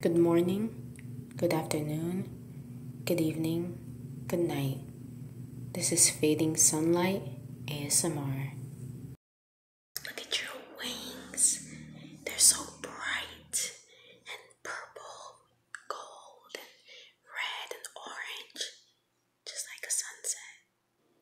Good morning, good afternoon, good evening, good night. This is Fading Sunlight ASMR. Look at your wings. They're so bright and purple, gold, and red and orange, just like a sunset.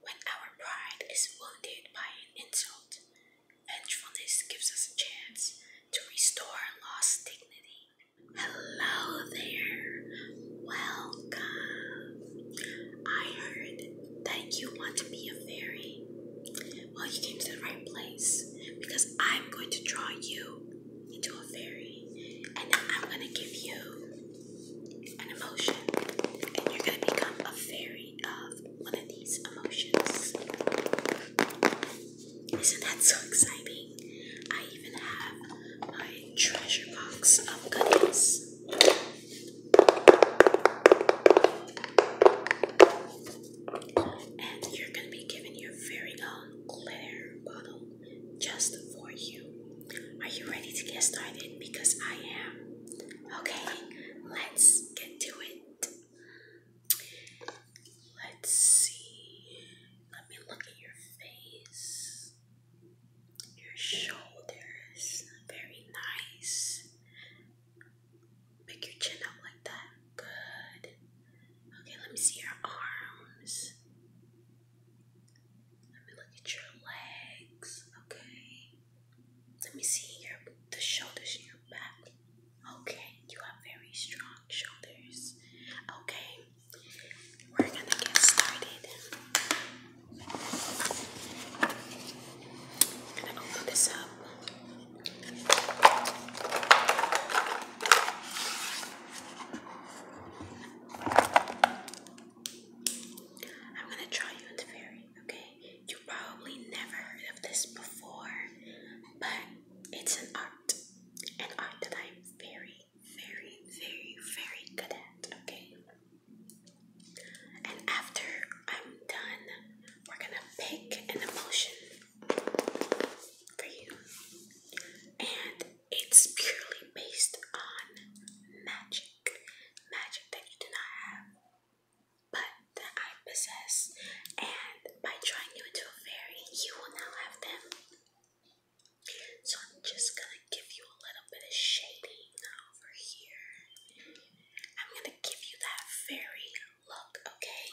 When our pride is wounded by an insult, Edge gives us a chance to restore lost dignity. Hello there. Welcome. I heard that you want to be a fairy. Well, you came to the right place because I'm going to draw you into a fairy and I'm going to give you an emotion and you're going to become a fairy of one of these emotions. Isn't that so exciting? I even have my treasure box of goodies. And you're going to be given your very own glitter bottle just for you. Are you ready to get started? Because I am. Okay, let's get to it. Let's see. Let me look at your face. Your shoulders. Very nice. Pick your chin up like that. Good. Okay, let me see your arms. Let me look at your legs. Okay. Let me see your the shoulders in your back. Okay, you have very strong shoulders. Okay, we're gonna get started. I'm gonna open this up. I'm gonna try you into fairy, okay? You probably never heard of this before, but it's an art. An art that I'm very, very, very, very good at, okay? And after I'm done, we're gonna pick an emotion for you. And it's purely based on magic. Magic that you do not have but that I possess, and by drawing you into a fairy, you will now have them. So I'm just gonna give you a little bit of shading over here. I'm gonna give you that fairy look, okay?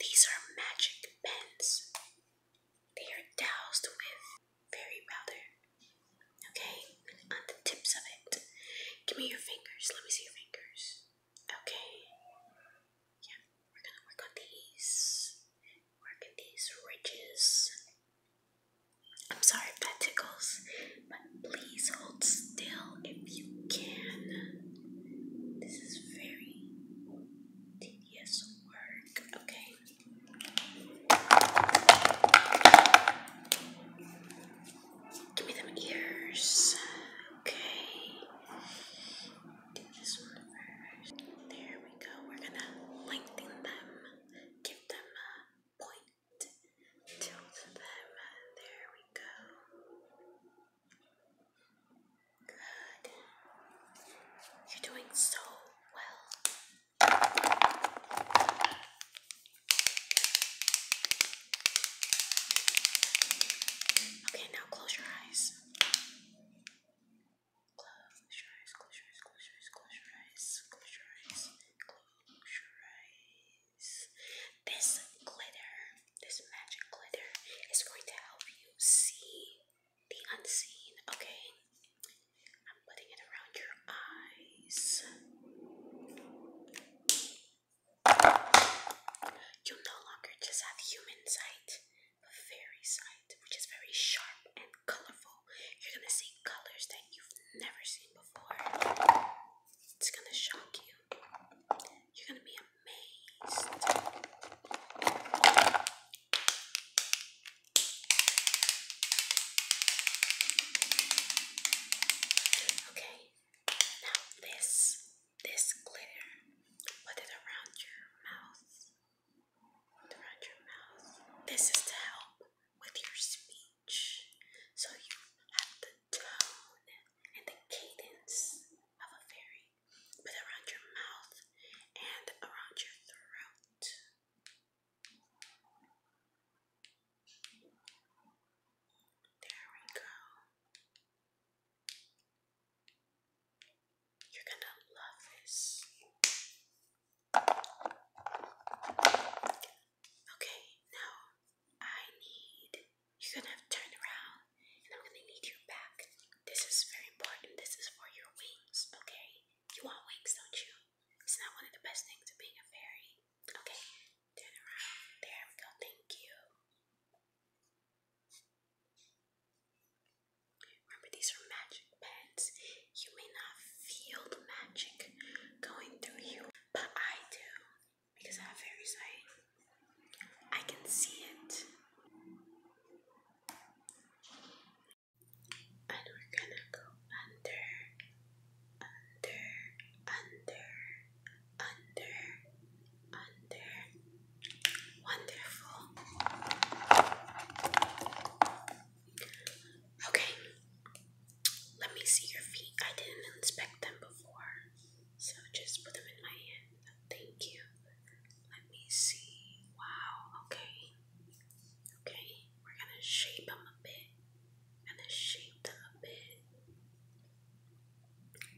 These are magic pens. They are doused with fairy powder. Okay, on the tips of it. Give me your fingers. Let me see your fingers. Okay. Yeah, we're gonna work on these. Work on these ridges. I'm sorry if that tickles, but please hold still if you can. This is very tedious work. Okay. Give me them ears. Okay. Do this one first. There we go. We're gonna lengthen them. Give them a point. Tilt them. There we go. Good. You're doing so well. Okay, now close your eyes. Close your eyes, close your eyes, close your eyes, close your eyes, close your eyes, close your eyes. This glitter, this magic glitter, is going to help you see the unseen, okay? I'm putting it around your eyes. You no longer just have human sight, but fairy sight, which is very sharp and colorful. You're gonna see colors that you've never seen before. It's gonna shock you. You're gonna be amazed. Okay, now this this glitter, put it around your mouth. Around your mouth. This is to help with your speech. So you have the tone and the cadence of a fairy. Put around your mouth and around your throat. There we go. You're gonna love this. Okay, now I need you're gonna have to turn around and I'm gonna need your back. This is very important. This is for your wings, okay? You want wings, don't you? It's not one of the best things to being a fairy. Okay, turn around. There we go. Thank you. Remember, these are magic pens. You may not feel the magic going through you, but I do because I have fairy sight. I can see it and we're gonna go under, under, under, under, under. Wonderful. Okay, let me see your feet. I didn't inspect them before, so just put them in my hand. Thank you. Let me see. Wow, okay. Okay, we're gonna shape them a bit. gonna shape them a bit.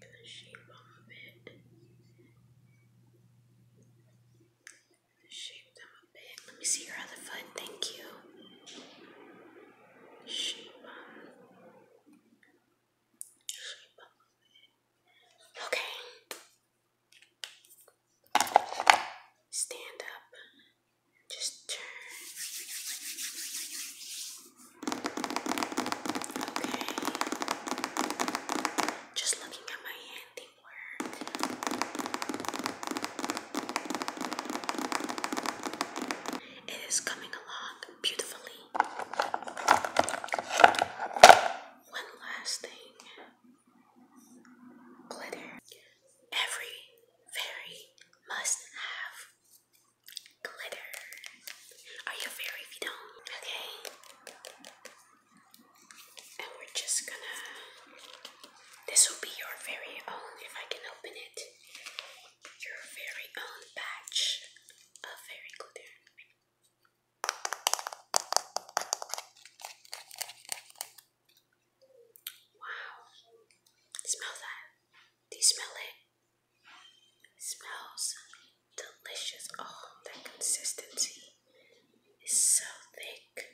gonna shape them a bit. shape them a bit. Let me see your other foot. Thank you. Shape them. Shape them Okay. Stand up. Just turn. Okay. Just looking at my handiwork. It is coming along beautifully. One last thing glitter. Every fairy must have glitter. Are you a fairy if you don't? Okay. And we're just gonna. This will be your very own, if I can open it, your very own batch of fairy glitter. Wow. Smell that. Do you smell it? smells delicious. Oh, that consistency is so thick.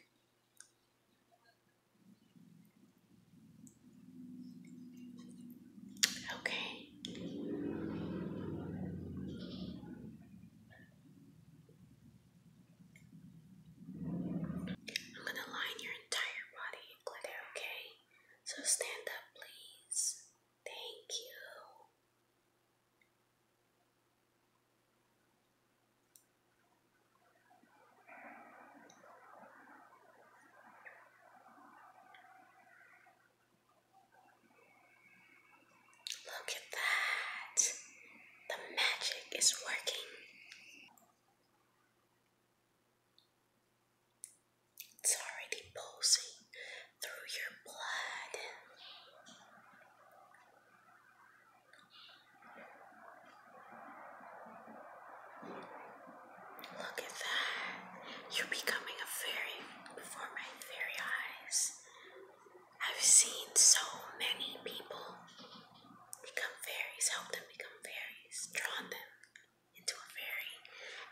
Okay. I'm going to line your entire body okay? So stand up, please. Thank you. Look at that. The magic is working. It's already pulsing through your blood. Look at that. You're becoming a fairy before my very eyes. I've seen so many people become fairies, help them become fairies, drawn them into a fairy,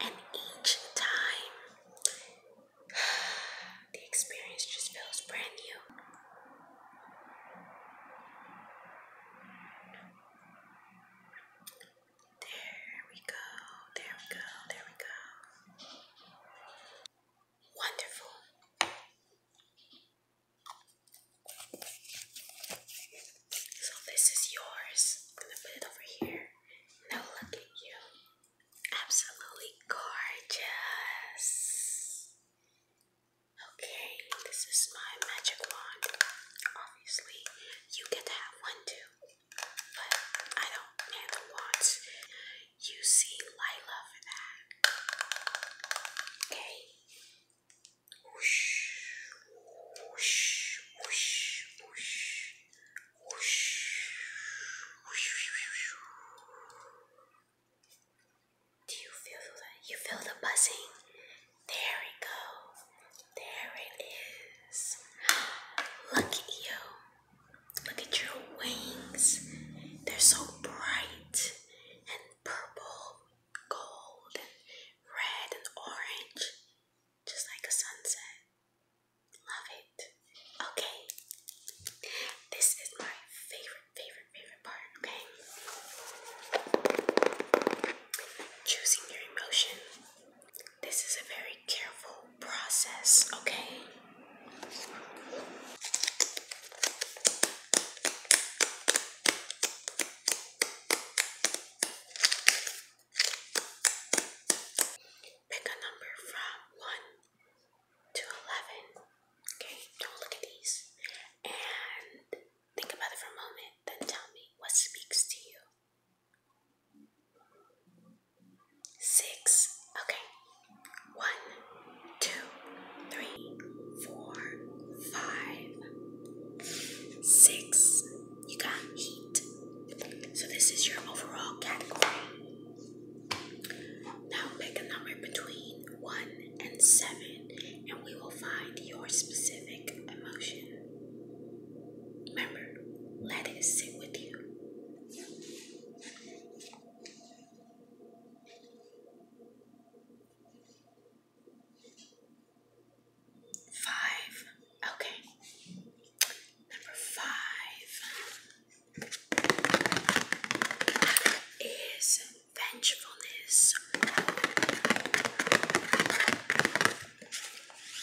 and each time the experience just feels brand new. There we go, there we go, there we go. Wonderful. So this is yours. I'm gonna put it over here. Now look at you. Absolutely gorgeous. Okay, this is my magic wand. Obviously, you get to have one too but I don't handle watch. You see Lila for that. Okay. Whoosh, whoosh, whoosh, whoosh, whoosh, whoosh, Do you feel the you feel the buzzing? There we go. There it is. Look at you. Look at your wings. They're so bright and purple, gold, and red, and orange. Just like a sunset. Love it. Okay. This is my favorite, favorite, favorite part, okay? Choosing your emotions. This is a very careful process, okay? Pick a number from 1 to 11. Okay, don't look at these. And Think about it for a moment, then tell me what speaks to you. Six. Okay. One, two, three, four, five, six. You got heat. So this is your overall category. Now pick a number between one and seven and we will find your specific emotion. Remember, let it sit with you. Five. Okay. Number five is vengefulness.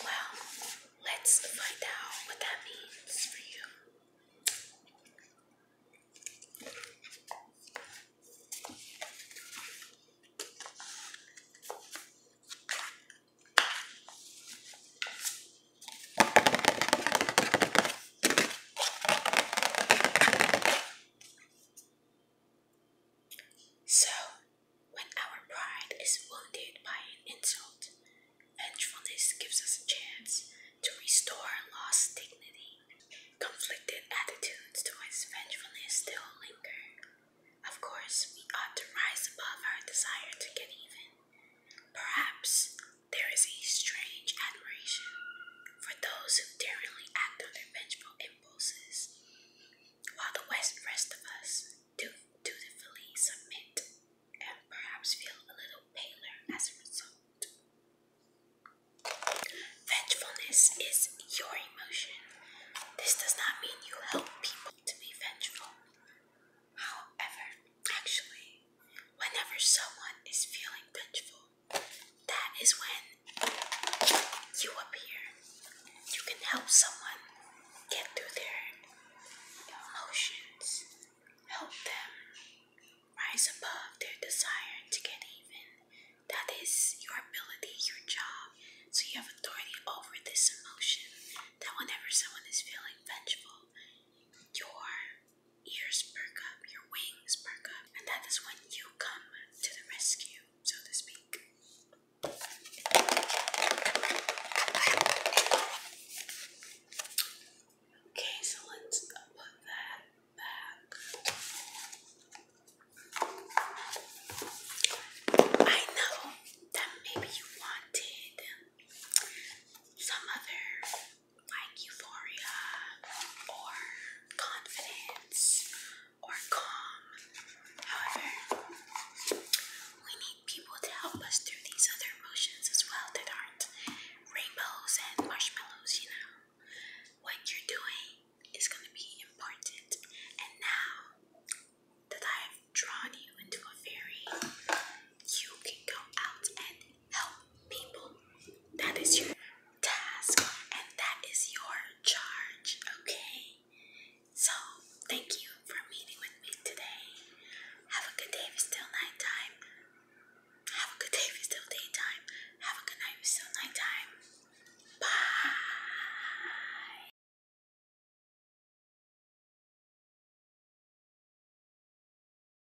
Well, let's find out what that means for you. So, when our pride is wounded by an insult, vengefulness gives us a chance to restore lost dignity. Conflicted attitudes towards vengefulness still linger. Of course, we ought to rise above our desire to get even. Perhaps there is a strange admiration for those who daringly act on their vengeful impulses, while the rest of us do dutifully submit and perhaps feel a little paler as a result. Vengefulness is your emotion. This does not mean you help people to be vengeful. However, actually, whenever someone is feeling vengeful, that is when you appear. You can help someone get through their emotions, help them rise above their desire to get even. That is your ability, your job. So you have authority over this emotion that whenever someone is feeling vengeful, you your ears perk up, your wings perk up, and that is when you come to the rescue, so to speak. Okay, so let's put that back. I know that maybe you wanted some other like euphoria or confidence or calm. However, we need people to help us through these other emotions as well that aren't rainbows and marshmallows, you know. What you're doing is going to be important. And now that I've drawn you into a fairy, you can go out and help people. That is your task and that is your charge, okay? So, thank you for meeting with me today. Have a good day if nighttime. Have a good day if daytime. Have a good night if nighttime. Bye.